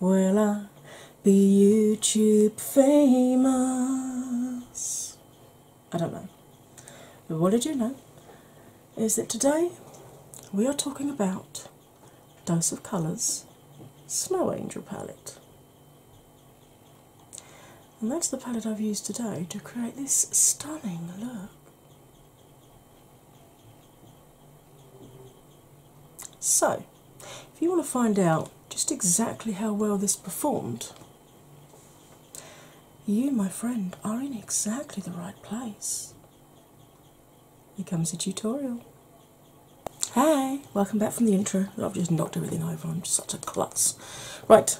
will I be YouTube famous? I don't know. But what I do know is that today we are talking about Dose of Colours Snow Angel palette. And that's the palette I've used today to create this stunning look. So, if you want to find out just exactly how well this performed, you, my friend, are in exactly the right place. Here comes the tutorial. Hey, welcome back from the intro. I've just knocked everything over, I'm such a klutz. Right,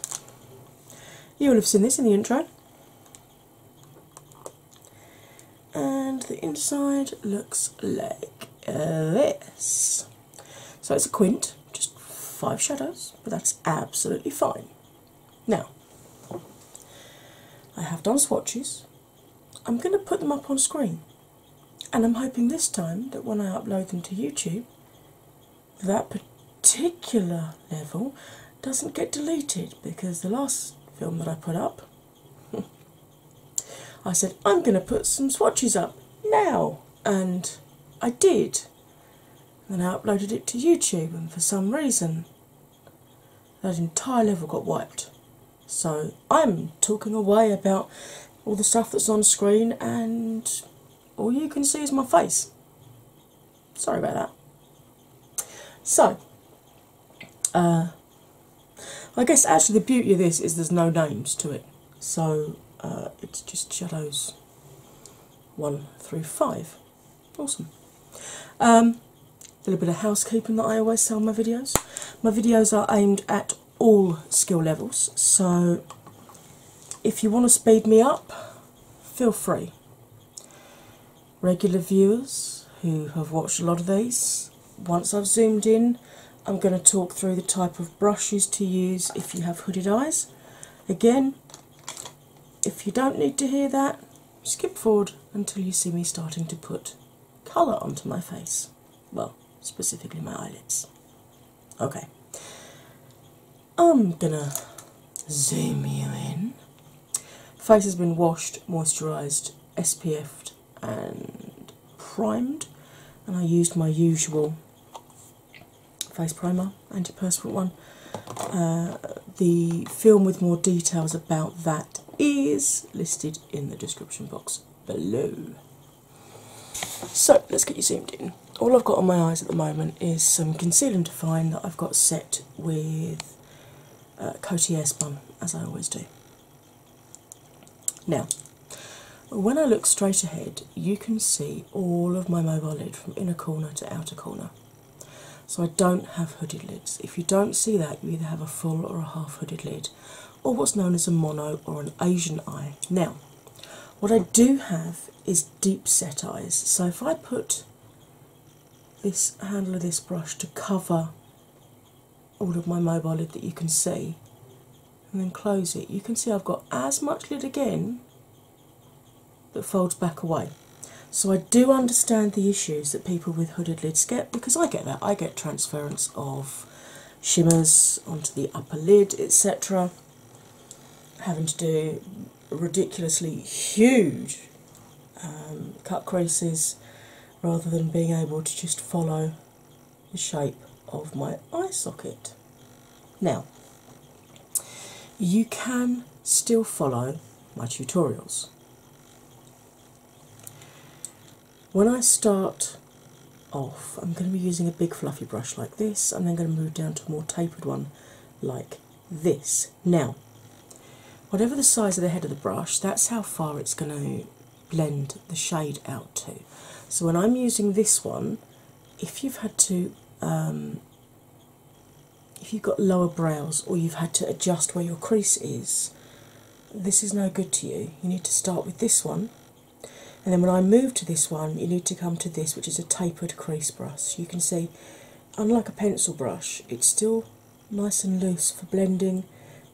you will have seen this in the intro and the inside looks like this. So it's a quint, just five shadows, but that's absolutely fine. Now, I have done swatches. I'm going to put them up on screen, and I'm hoping this time that when I upload them to YouTube, that particular level doesn't get deleted because the last film that I put up I said, I'm going to put some swatches up now, and I did. And I uploaded it to YouTube, and for some reason, that entire level got wiped. So I'm talking away about all the stuff that's on screen, and all you can see is my face. Sorry about that. So, uh, I guess actually the beauty of this is there's no names to it, so uh, it's just shadows one through five. Awesome. Um, a little bit of housekeeping that I always sell my videos. My videos are aimed at all skill levels, so if you want to speed me up, feel free regular viewers who have watched a lot of these, once I've zoomed in, I'm going to talk through the type of brushes to use if you have hooded eyes. Again, if you don't need to hear that, skip forward until you see me starting to put colour onto my face. Well, specifically my eyelids. Okay, I'm gonna zoom you in the face has been washed, moisturised, SPF'd, and primed. And I used my usual face primer, anti antiperspirant one. Uh, the film with more details about that is listed in the description box below. So let's get you zoomed in. All I've got on my eyes at the moment is some concealer to find that I've got set with uh, Coty as I always do. Now, when I look straight ahead, you can see all of my mobile lid from inner corner to outer corner. So I don't have hooded lids. If you don't see that, you either have a full or a half hooded lid, or what's known as a mono or an Asian eye. Now, what I do have is deep set eyes. So if I put this handle of this brush to cover all of my mobile lid that you can see and then close it. You can see I've got as much lid again that folds back away. So I do understand the issues that people with hooded lids get because I get that. I get transference of shimmers onto the upper lid, etc. Having to do ridiculously huge um, cut creases rather than being able to just follow the shape of my eye socket. Now, you can still follow my tutorials. When I start off, I'm going to be using a big fluffy brush like this, and then going to move down to a more tapered one like this. Now, Whatever the size of the head of the brush, that's how far it's going to blend the shade out to. So when I'm using this one, if you've had to, um, if you've got lower brows or you've had to adjust where your crease is, this is no good to you. You need to start with this one, and then when I move to this one, you need to come to this, which is a tapered crease brush. You can see, unlike a pencil brush, it's still nice and loose for blending,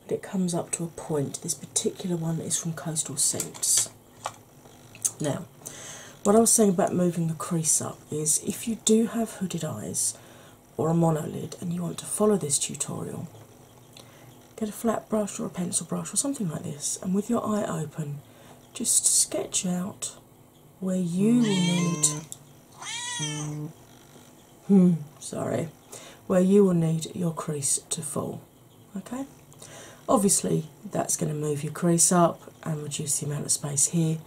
but it comes up to a point. This particular one is from Coastal Scents. Now, what I was saying about moving the crease up is if you do have hooded eyes or a monolid and you want to follow this tutorial, get a flat brush or a pencil brush or something like this, and with your eye open, just sketch out where you need. Hmm, hmm sorry where you will need your crease to fall. Okay? Obviously, that's going to move your crease up and reduce the amount of space here.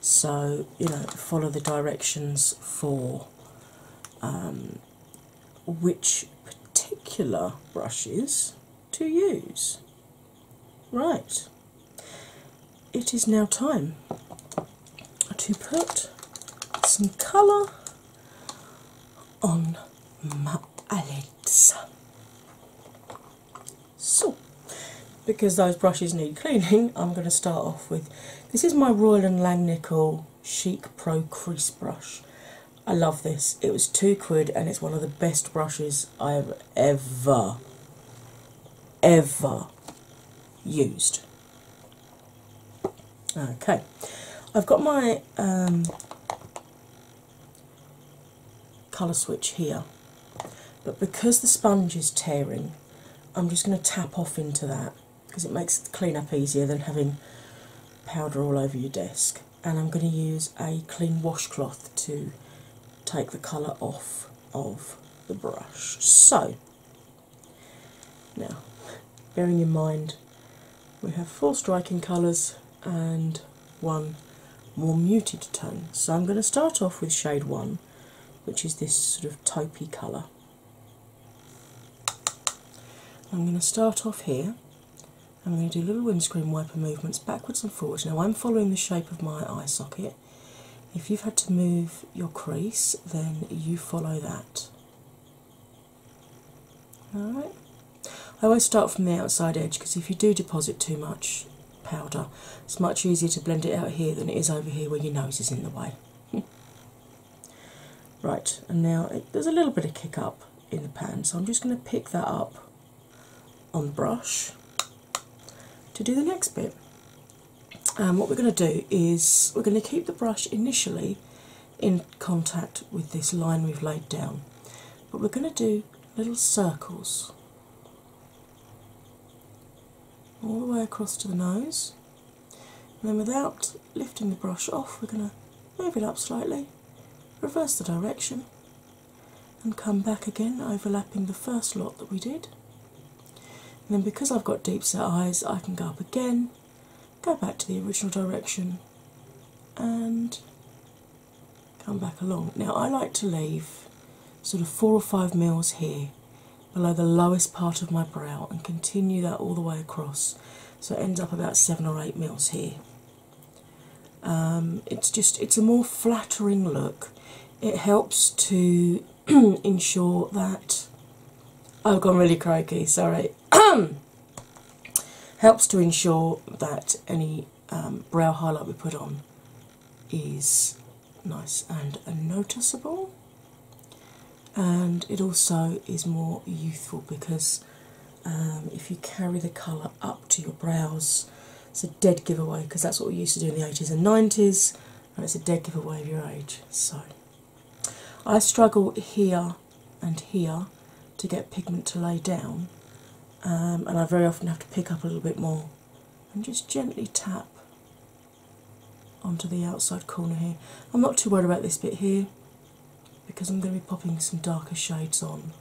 So, you know, follow the directions for um, which particular brushes to use. Right, it is now time to put some colour on my eyelids. So, because those brushes need cleaning, I'm going to start off with this is my Royal and Langnickel Chic Pro Crease Brush. I love this. It was two quid and it's one of the best brushes I've ever, ever used. Okay, I've got my um, colour switch here, but because the sponge is tearing, I'm just going to tap off into that because it makes the up easier than having powder all over your desk. And I'm going to use a clean washcloth to take the colour off of the brush. So now, bearing in mind we have four striking colours and one more muted tone, so I'm going to start off with shade one, which is this sort of taupey colour. I'm going to start off here. I'm going to do little windscreen wiper movements backwards and forwards. Now, I'm following the shape of my eye socket. If you've had to move your crease, then you follow that. Alright? I always start from the outside edge because if you do deposit too much powder, it's much easier to blend it out here than it is over here where your nose is in the way. right, and now there's a little bit of kick up in the pan, so I'm just going to pick that up on the brush to do the next bit. And um, what we're going to do is we're going to keep the brush initially in contact with this line we've laid down, but we're going to do little circles all the way across to the nose. And then, without lifting the brush off, we're going to move it up slightly, reverse the direction, and come back again, overlapping the first lot that we did then, because I've got deep set eyes, I can go up again, go back to the original direction, and come back along. Now, I like to leave sort of four or five mils here below the lowest part of my brow and continue that all the way across, so it ends up about seven or eight mils here. Um, it's just it's a more flattering look. It helps to ensure that I've oh, gone really croaky, sorry. Helps to ensure that any brow um, highlight we put on is nice and noticeable, and it also is more youthful because um, if you carry the colour up to your brows, it's a dead giveaway because that's what we used to do in the 80s and 90s, and it's a dead giveaway of your age. So, I struggle here and here to get pigment to lay down, um, and I very often have to pick up a little bit more and just gently tap onto the outside corner here. I'm not too worried about this bit here because I'm going to be popping some darker shades on,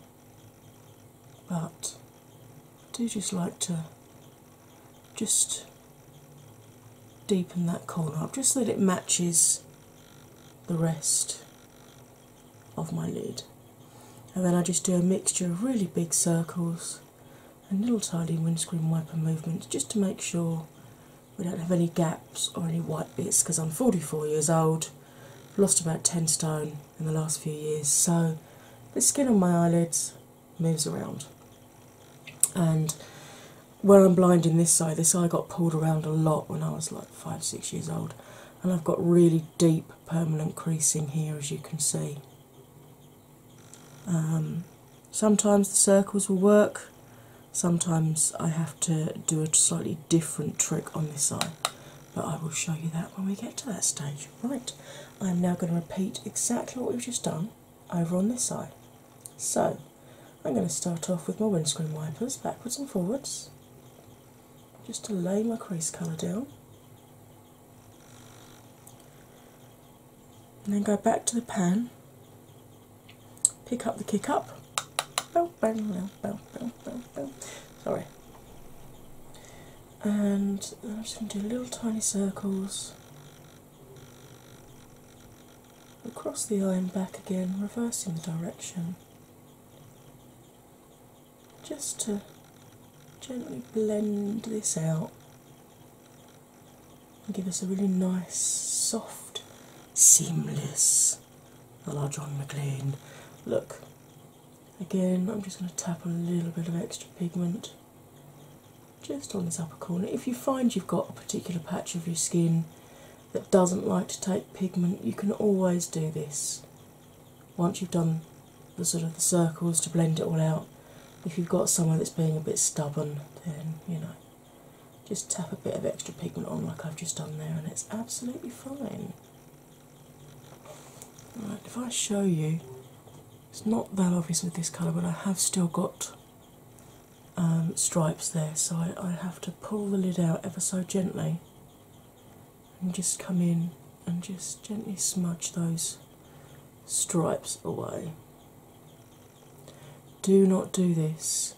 but I do just like to just deepen that corner up just so that it matches the rest of my lid. And then I just do a mixture of really big circles and little tiny windscreen wiper movements just to make sure we don't have any gaps or any white bits because I'm 44 years old, lost about 10 stone in the last few years, so the skin on my eyelids moves around. And where I'm blind in this side, this eye got pulled around a lot when I was like five, six years old, and I've got really deep permanent creasing here, as you can see. Um, sometimes the circles will work, sometimes I have to do a slightly different trick on this eye, but I will show you that when we get to that stage. Right, I'm now going to repeat exactly what we've just done, over on this side. So I'm going to start off with my windscreen wipers backwards and forwards just to lay my crease colour down. And then go back to the pan, pick up the kick up. Bow, bow, bow, Sorry. And I'm just going to do little tiny circles across the eye and back again, reversing the direction, just to gently blend this out and give us a really nice, soft, seamless L.R. John McLean look. Again, I'm just going to tap a little bit of extra pigment just on this upper corner. If you find you've got a particular patch of your skin that doesn't like to take pigment, you can always do this. Once you've done the sort of the circles to blend it all out, if you've got somewhere that's being a bit stubborn, then you know, just tap a bit of extra pigment on like I've just done there, and it's absolutely fine. Right, if I show you, it's not that obvious with this colour, but I have still got um, stripes there, so I have to pull the lid out ever so gently and just come in and just gently smudge those stripes away. Do not do this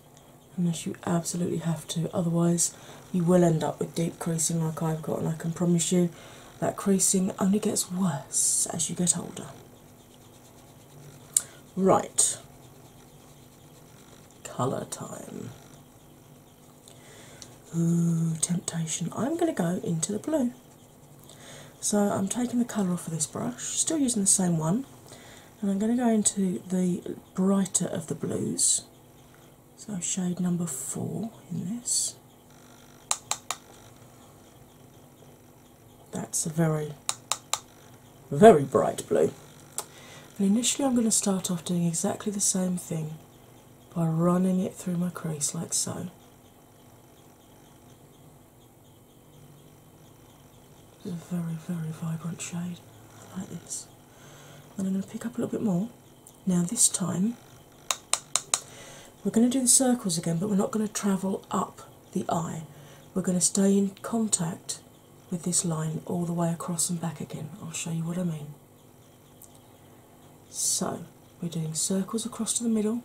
unless you absolutely have to, otherwise, you will end up with deep creasing like I've got, and I can promise you that creasing only gets worse as you get older. Right, colour time. Ooh, temptation. I'm going to go into the blue. So I'm taking the colour off of this brush, still using the same one, and I'm going to go into the brighter of the blues. So shade number four in this. That's a very, very bright blue. And initially, I'm going to start off doing exactly the same thing by running it through my crease like so. It's a very, very vibrant shade like this. And I'm going to pick up a little bit more. Now, this time we're going to do the circles again, but we're not going to travel up the eye. We're going to stay in contact with this line all the way across and back again. I'll show you what I mean. So, we're doing circles across to the middle.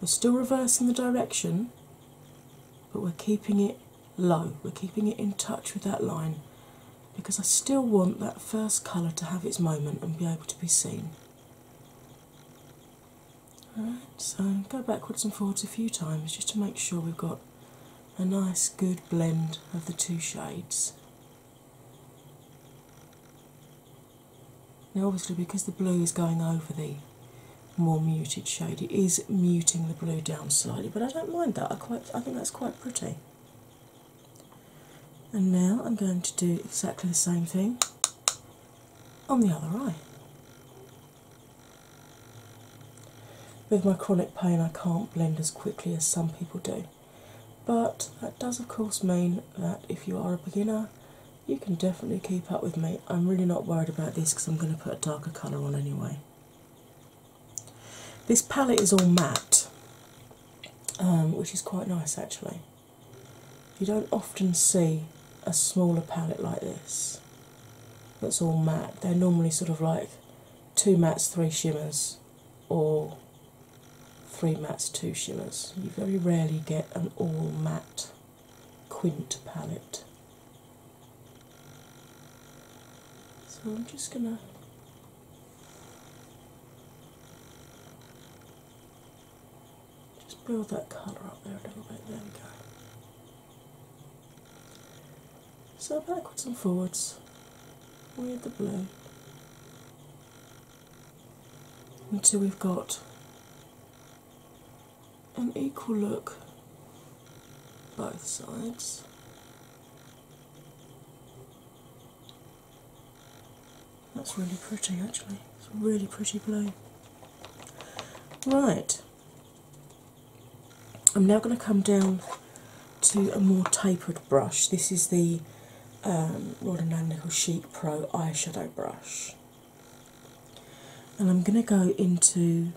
We're still reversing the direction, but we're keeping it low. We're keeping it in touch with that line because I still want that first colour to have its moment and be able to be seen. Alright, so go backwards and forwards a few times just to make sure we've got a nice good blend of the two shades. Now, obviously, because the blue is going over the more muted shade, it is muting the blue down slightly, but I don't mind that. I quite, I think that's quite pretty. And now I'm going to do exactly the same thing on the other eye. With my chronic pain, I can't blend as quickly as some people do, but that does, of course, mean that if you are a beginner, you can definitely keep up with me. I'm really not worried about this because I'm going to put a darker colour on anyway. This palette is all matte, um, which is quite nice actually. You don't often see a smaller palette like this that's all matte. They're normally sort of like two mattes, three shimmers, or three mattes, two shimmers. You very rarely get an all matte quint palette. So I'm just going to just build that colour up there a little bit. There we go. So backwards and forwards with the blue until we've got an equal look both sides. That's really pretty actually. It's really pretty blue. Right. I'm now going to come down to a more tapered brush. This is the um, Rod & Chic Pro eyeshadow brush. And I'm going to go into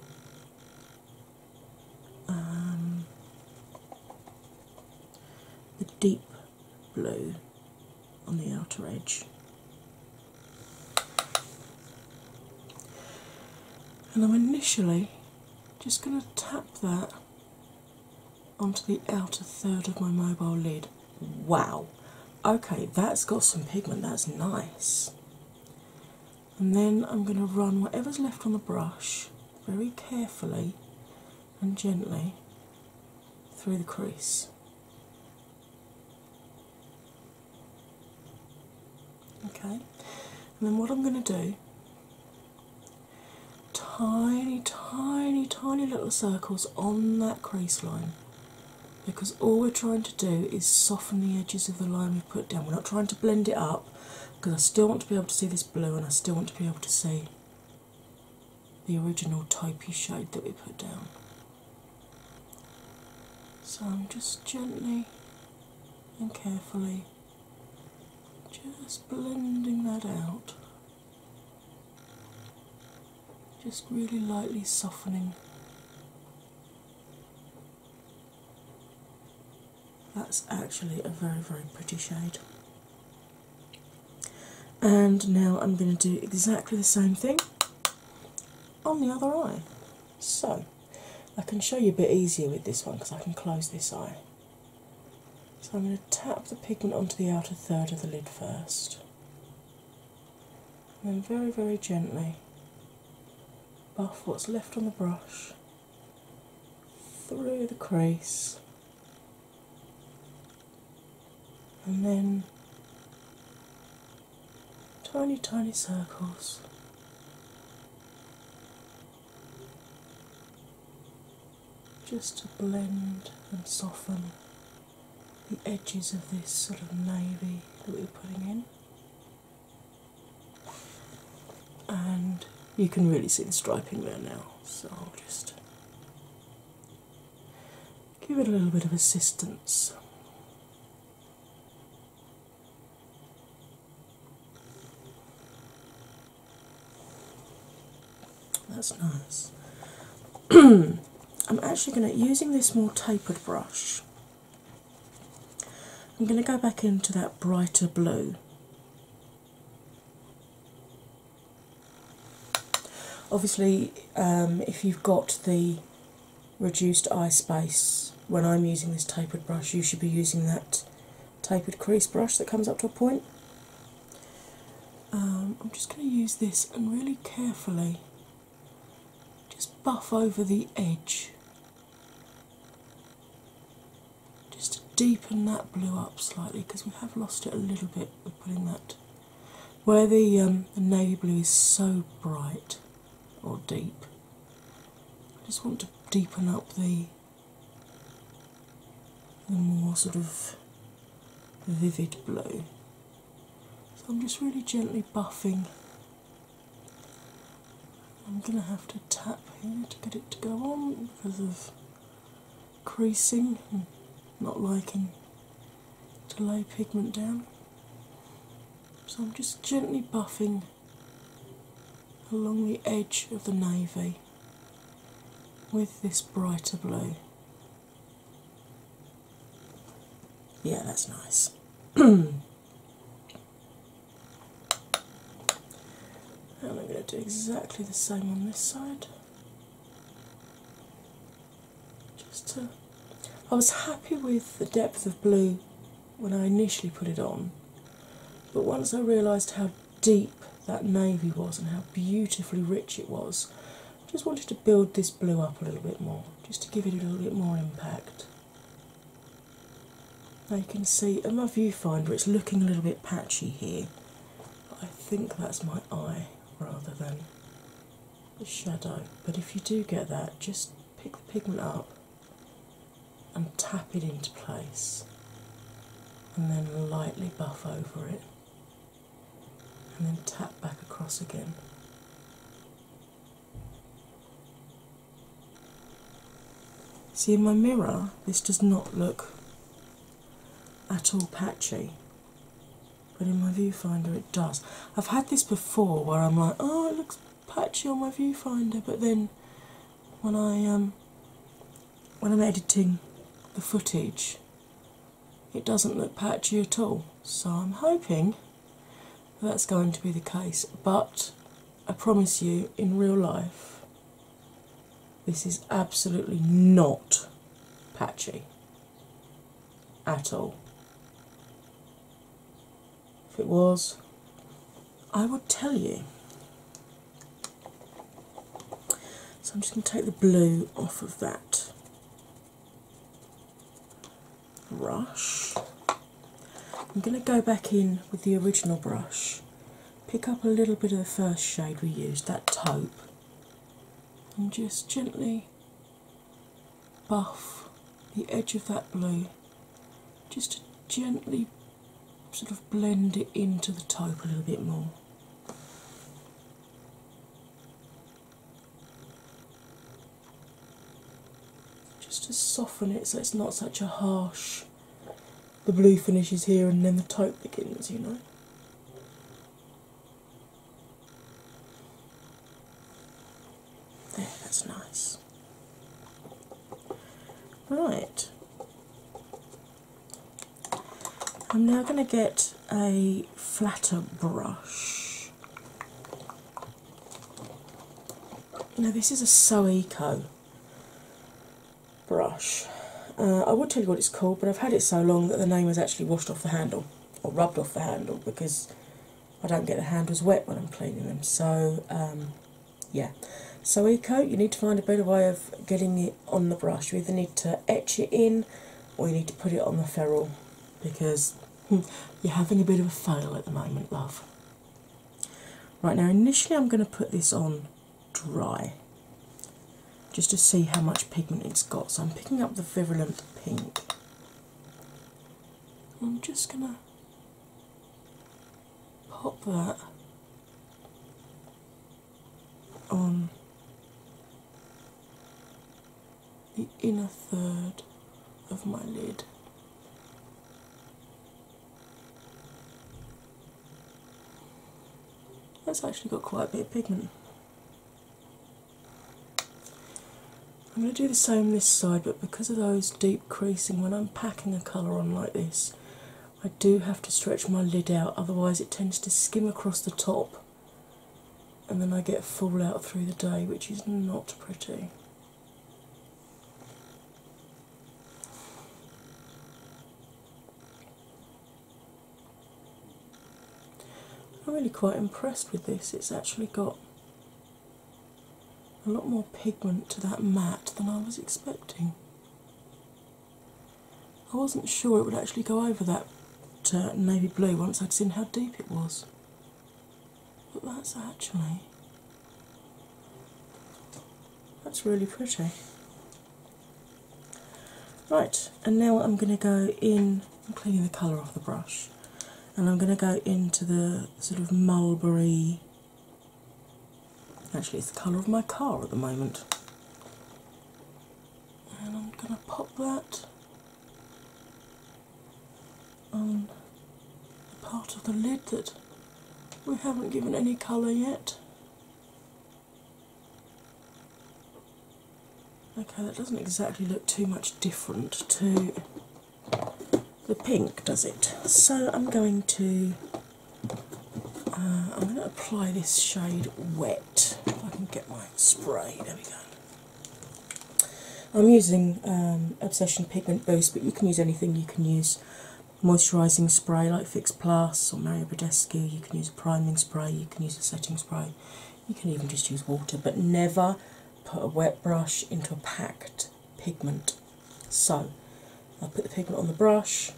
um, the deep blue on the outer edge. And I'm initially just going to tap that onto the outer third of my mobile lid. Wow! Okay, that's got some pigment, that's nice. And then I'm going to run whatever's left on the brush very carefully and gently through the crease. Okay, and then what I'm going to do tiny, tiny, tiny little circles on that crease line because all we're trying to do is soften the edges of the line we put down. We're not trying to blend it up because I still want to be able to see this blue and I still want to be able to see the original taupey shade that we put down. So I'm just gently and carefully just blending that out, just really lightly softening that's actually a very, very pretty shade. And now I'm going to do exactly the same thing on the other eye. So I can show you a bit easier with this one because I can close this eye. So I'm going to tap the pigment onto the outer third of the lid first. And then very, very gently buff what's left on the brush through the crease and then tiny, tiny circles. Just to blend and soften the edges of this sort of navy that we're putting in, and you can really see the striping there now. So I'll just give it a little bit of assistance. That's nice. I'm actually going to, using this more tapered brush, I'm going to go back into that brighter blue Obviously, um, if you've got the reduced eye space when I'm using this tapered brush, you should be using that tapered crease brush that comes up to a point. Um, I'm just going to use this and really carefully just buff over the edge just to deepen that blue up slightly because we have lost it a little bit with putting that where the navy um, blue is so bright or deep, I just want to deepen up the more sort of vivid blue. So I'm just really gently buffing. I'm going to have to tap here to get it to go on because of creasing and not liking to lay pigment down. So I'm just gently buffing along the edge of the navy with this brighter blue. Yeah, that's nice. and I'm going to do exactly the same on this side just to I was happy with the depth of blue when I initially put it on, but once I realised how deep that navy was and how beautifully rich it was, I just wanted to build this blue up a little bit more, just to give it a little bit more impact. Now you can see in my viewfinder it's looking a little bit patchy here, I think that's my eye rather than the shadow. But if you do get that, just pick the pigment up and tap it into place, and then lightly buff over it, and then tap back across again. See in my mirror, this does not look at all patchy but in my viewfinder it does. I've had this before where I'm like, oh, it looks patchy on my viewfinder, but then when I um, when I'm editing the footage, it doesn't look patchy at all. So I'm hoping that's going to be the case, but I promise you, in real life, this is absolutely not patchy at all. If it was, I would tell you. So I'm just going to take the blue off of that brush. I'm going to go back in with the original brush, pick up a little bit of the first shade we used, that taupe, and just gently buff the edge of that blue just to gently sort of blend it into the taupe a little bit more. Just to soften it so it's not such a harsh, the blue finishes here and then the taupe begins, you know that's nice. Right. I'm now going to get a flatter brush. Now, this is a Soeco brush, uh, I would tell you what it's called, but I've had it so long that the name has actually washed off the handle or rubbed off the handle because I don't get the handles wet when I'm cleaning them. So, um, yeah. So, Eco, you need to find a better way of getting it on the brush. You either need to etch it in or you need to put it on the ferrule because hmm, you're having a bit of a fail at the moment, love. Right now, initially, I'm going to put this on dry just to see how much pigment it's got. So I'm picking up the virulent pink. I'm just going to pop that on the inner third of my lid. That's actually got quite a bit of pigment. I'm going to do the same this side, but because of those deep creasing, when I'm packing a colour on like this, I do have to stretch my lid out, otherwise, it tends to skim across the top and then I get fallout through the day, which is not pretty. I'm really quite impressed with this. It's actually got a lot more pigment to that matte than I was expecting. I wasn't sure it would actually go over that uh, navy blue once I'd seen how deep it was. But that's actually. That's really pretty. Right, and now I'm going to go in, I'm cleaning the colour off the brush, and I'm going to go into the sort of mulberry. Actually, it's the colour of my car at the moment. And I'm going to pop that on the part of the lid that we haven't given any colour yet. Okay, that doesn't exactly look too much different to the pink, does it? So I'm going to uh, I'm going to apply this shade wet. If I can get my spray. There we go. I'm using um, Obsession Pigment Boost, but you can use anything. You can use moisturising spray like Fix Plus or Mario Badescu. You can use priming spray, you can use a setting spray, you can even just use water, but never put a wet brush into a packed pigment. So I put the pigment on the brush,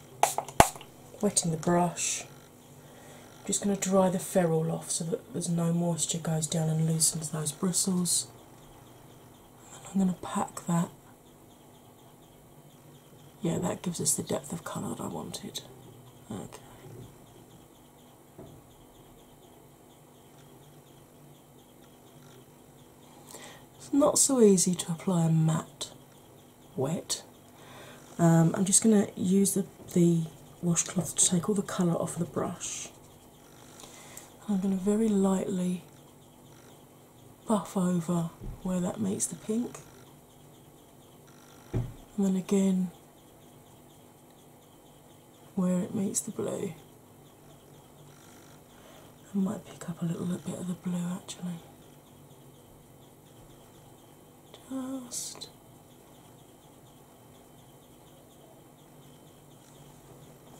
wetting the brush. I'm just going to dry the ferrule off so that there's no moisture goes down and loosens those bristles. And I'm going to pack that yeah, that gives us the depth of colour that I wanted. Okay. It's not so easy to apply a matte wet. Um, I'm just going to use the washcloth to take all the colour off the brush. I'm going to very lightly buff over where that meets the pink and then again where it meets the blue. I might pick up a little bit of the blue actually. Just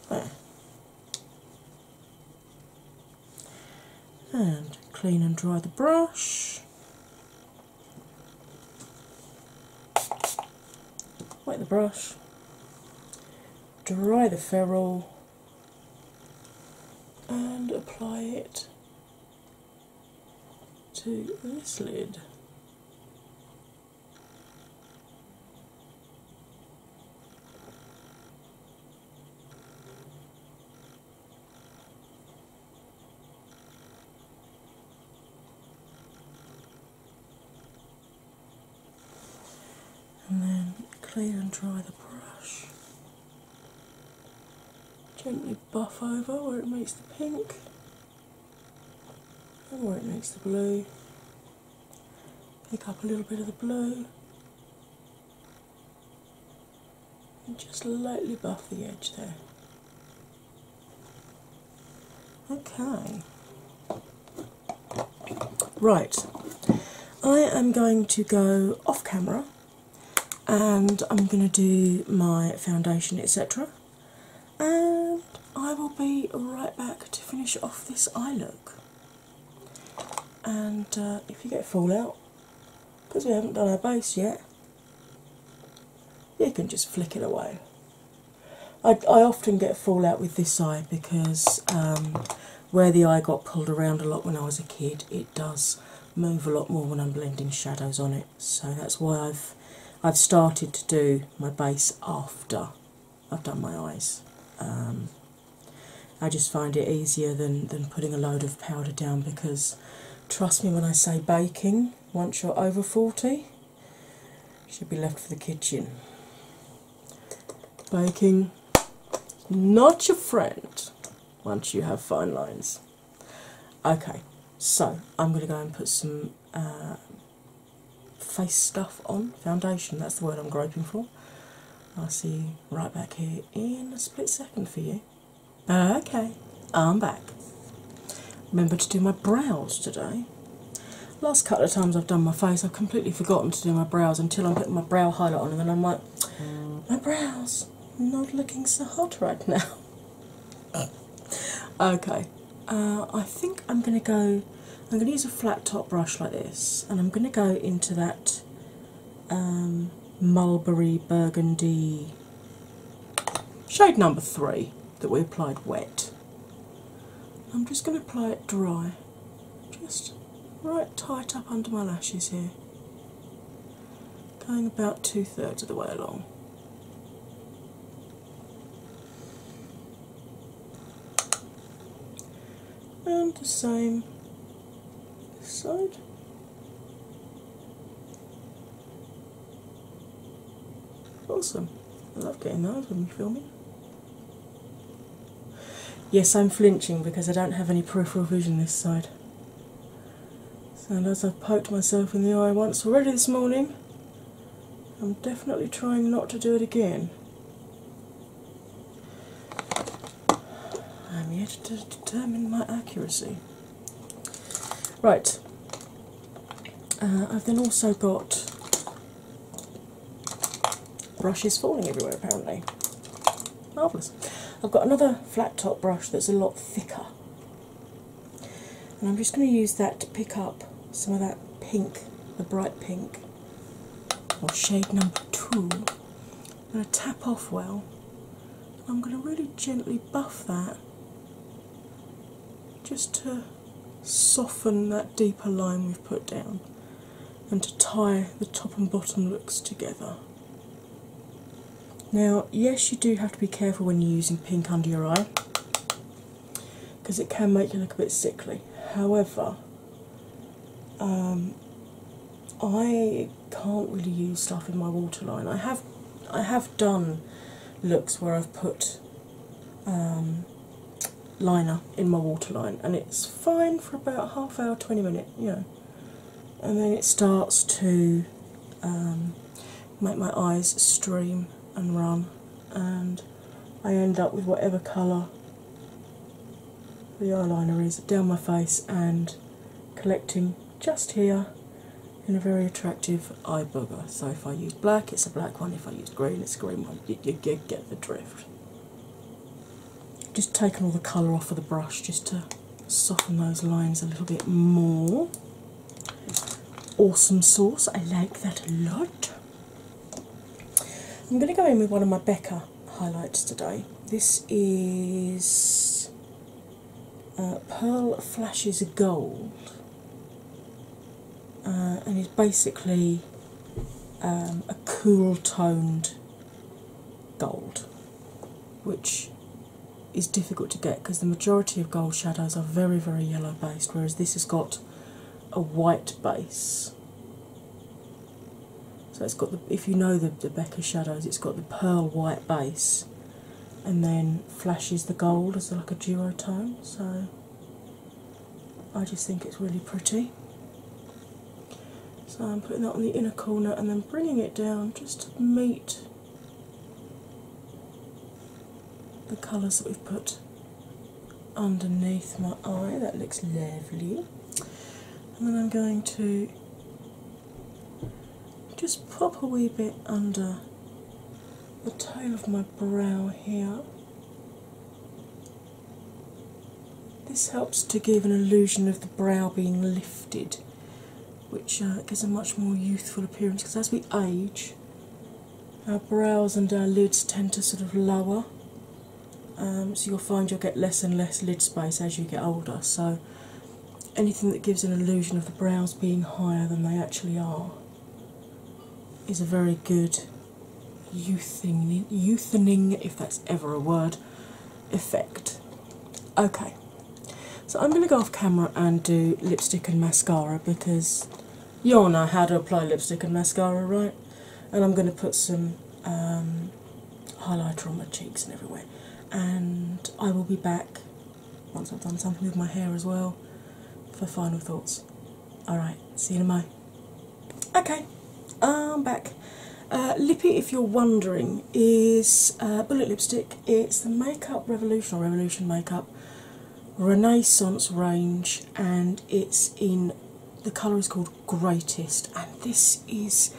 there. And clean and dry the brush wet the brush, dry the ferrule, and apply it to this lid and then clean and dry the brush. Gently buff over where it meets the pink and where it meets the blue. Pick up a little bit of the blue and just lightly buff the edge there. Okay. Right, I am going to go off camera and I'm going to do my foundation, etc. And I will be right back to finish off this eye look. And uh, if you get fallout, because we haven't done our base yet, you can just flick it away. I, often get fallout with this eye because um, where the eye got pulled around a lot when I was a kid, it does move a lot more when I'm blending shadows on it. So that's why I've I've started to do my base after I've done my eyes. Um, I just find it easier than than putting a load of powder down because Trust me when I say baking, once you're over 40, should be left for the kitchen. Baking, not your friend once you have fine lines. Okay, so I'm going to go and put some uh, face stuff on, foundation, that's the word I'm groping for. I'll see you right back here in a split second for you. Uh, okay, I'm back. Remember to do my brows today. Last couple of times I've done my face, I've completely forgotten to do my brows until I'm putting my brow highlight on, and then I'm like, my brows not looking so hot right now. okay, uh, I think I'm going to go. I'm going to use a flat top brush like this, and I'm going to go into that um, mulberry burgundy shade number three that we applied wet. I'm just going to apply it dry, just right tight up under my lashes here, going about two thirds of the way along. And the same this side. Awesome. I love getting those when you film me. Yes, I'm flinching because I don't have any peripheral vision this side. And as I've poked myself in the eye once already this morning, I'm definitely trying not to do it again. I'm yet to determine my accuracy. Right, uh, I've then also got brushes falling everywhere apparently. Marvellous. I've got another flat top brush that's a lot thicker, and I'm just going to use that to pick up some of that pink, the bright pink, or shade number two. I'm going to tap off well. I'm going to really gently buff that just to soften that deeper line we've put down and to tie the top and bottom looks together. Now, yes, you do have to be careful when you're using pink under your eye because it can make you look a bit sickly. However, um, I can't really use stuff in my waterline. I have I have done looks where I've put um, liner in my waterline and it's fine for about half hour, 20 minutes, you know. And then it starts to um, make my eyes stream and run and I end up with whatever colour the eyeliner is down my face and collecting just here in a very attractive eye booger. So if I use black, it's a black one. If I use green, it's a green one. You, you, you get the drift. Just taking all the colour off of the brush just to soften those lines a little bit more. Awesome sauce, I like that a lot. I'm going to go in with one of my Becca highlights today. This is uh, Pearl Flashes Gold, uh, and is basically um, a cool toned gold, which is difficult to get because the majority of gold shadows are very, very yellow based, whereas this has got a white base. So it's got the if you know the, Becca shadows, it's got the pearl white base and then flashes the gold as like a duotone. So I just think it's really pretty. So I'm putting that on the inner corner and then bringing it down just to meet the colours that we've put underneath my eye. That looks lovely. And then I'm going to just pop a wee bit under the tail of my brow here. This helps to give an illusion of the brow being lifted, which uh, gives a much more youthful appearance because as we age, our brows and our lids tend to sort of lower. Um, so you'll find you'll get less and less lid space as you get older. So anything that gives an illusion of the brows being higher than they actually are is a very good youthening, if that's ever a word, effect. Okay, so I'm going to go off camera and do lipstick and mascara because you all know how to apply lipstick and mascara, right? And I'm going to put some um, highlighter on my cheeks and everywhere. And I will be back once I've done something with my hair as well for final thoughts. Alright, see you in a mo. Okay, I'm back. Uh, Lippy, if you're wondering, is uh, Bullet Lipstick. It's the Makeup Revolution or Revolution Makeup Renaissance range, and it's in the colour is called Greatest. And this is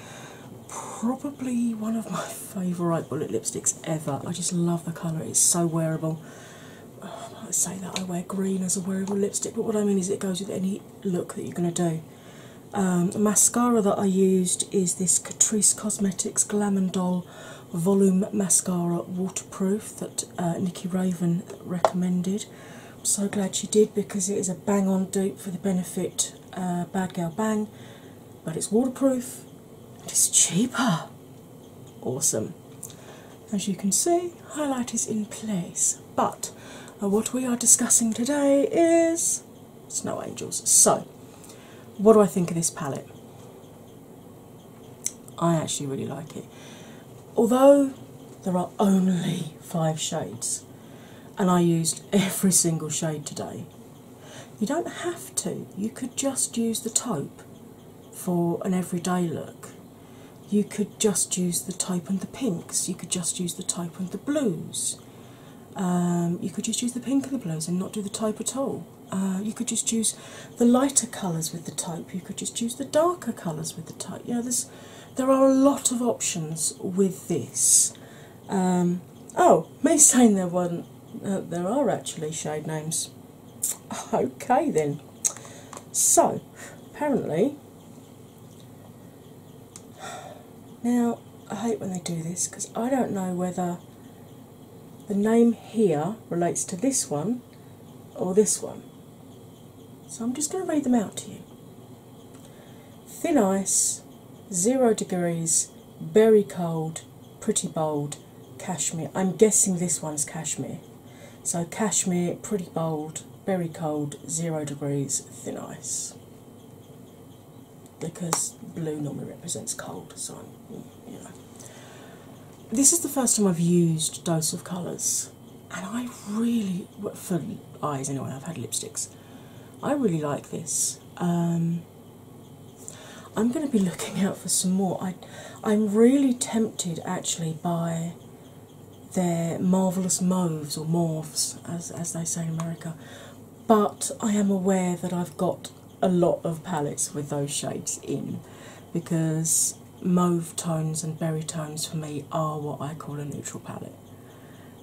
probably one of my favourite bullet lipsticks ever. I just love the colour, it's so wearable. I might say that I wear green as a wearable lipstick, but what I mean is it goes with any look that you're going to do. Um, mascara that I used is this Catrice Cosmetics Glam and Doll Volume Mascara Waterproof that uh, Nikki Raven recommended. I'm so glad she did because it is a bang on dupe for the benefit uh, bad Girl Bang, but it's waterproof it's cheaper. Awesome. As you can see, highlight is in place, but uh, what we are discussing today is Snow Angels. So, what do I think of this palette? I actually really like it. Although there are only five shades, and I used every single shade today you don't have to, you could just use the taupe for an everyday look. You could just use the taupe and the pinks, you could just use the taupe and the blues. Um, you could just use the pink and the blues and not do the taupe at all. Uh, you could just use the lighter colours with the taupe, you could just use the darker colours with the taupe. You know, there are a lot of options with this. Um, oh, may sign there one uh, there are actually shade names. Okay then. So apparently now I hate when they do this because I don't know whether the name here relates to this one or this one. So I'm just going to read them out to you. Thin Ice, zero degrees, very cold, pretty bold, cashmere. I'm guessing this one's cashmere. So, cashmere, pretty bold, very cold, zero degrees, thin ice. Because blue normally represents cold, so you know. This is the first time I've used Dose of Colours, and I really, for eyes anyway, I've had lipsticks, I really like this. Um, I'm going to be looking out for some more. I, I'm really tempted actually by their marvellous mauves or morphs, as, as they say in America, but I am aware that I've got a lot of palettes with those shades in because mauve tones and berry tones for me are what I call a neutral palette.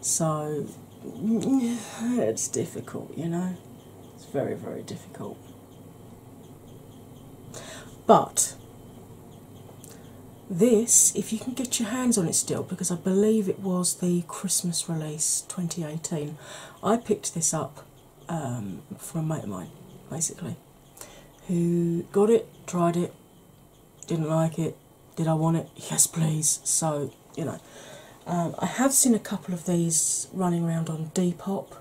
So it's difficult, you know, it's very, very difficult. But this, if you can get your hands on it still, because I believe it was the Christmas release 2018, I picked this up um, from a mate of mine basically who got it, tried it, didn't like it. Did I want it? Yes, please. So you know. Um, I have seen a couple of these running around on Depop.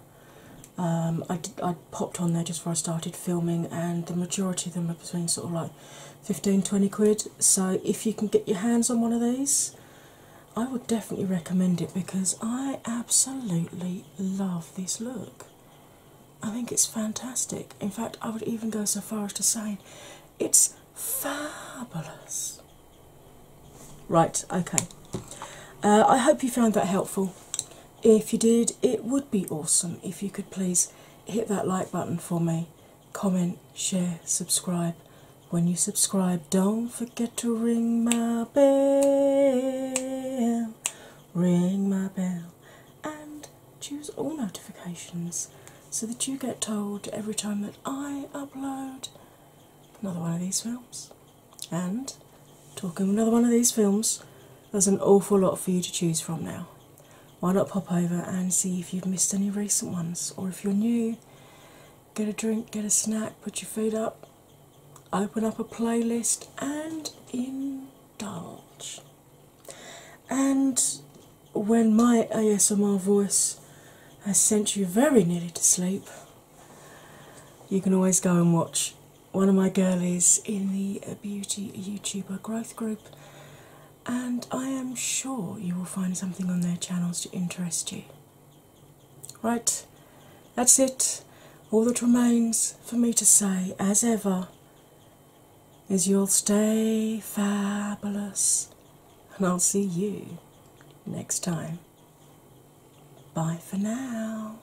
Um, I, I popped on there just before I started filming, and the majority of them are between sort of like 15 20 quid. So, if you can get your hands on one of these, I would definitely recommend it because I absolutely love this look. I think it's fantastic. In fact, I would even go so far as to say it's Fabulous. Right, okay. Uh, I hope you found that helpful. If you did, it would be awesome if you could please hit that like button for me, comment, share, subscribe. When you subscribe, don't forget to ring my bell, ring my bell, and choose all notifications so that you get told every time that I upload another one of these films. And talking of another one of these films, there's an awful lot for you to choose from now. Why not pop over and see if you've missed any recent ones, or if you're new, get a drink, get a snack, put your feet up, open up a playlist, and indulge and when my ASMR voice has sent you very nearly to sleep, you can always go and watch one of my girlies in the Beauty YouTuber Growth Group, and I am sure you will find something on their channels to interest you. Right, that's it. All that remains for me to say, as ever, is you'll stay fabulous, and I'll see you next time. Bye for now.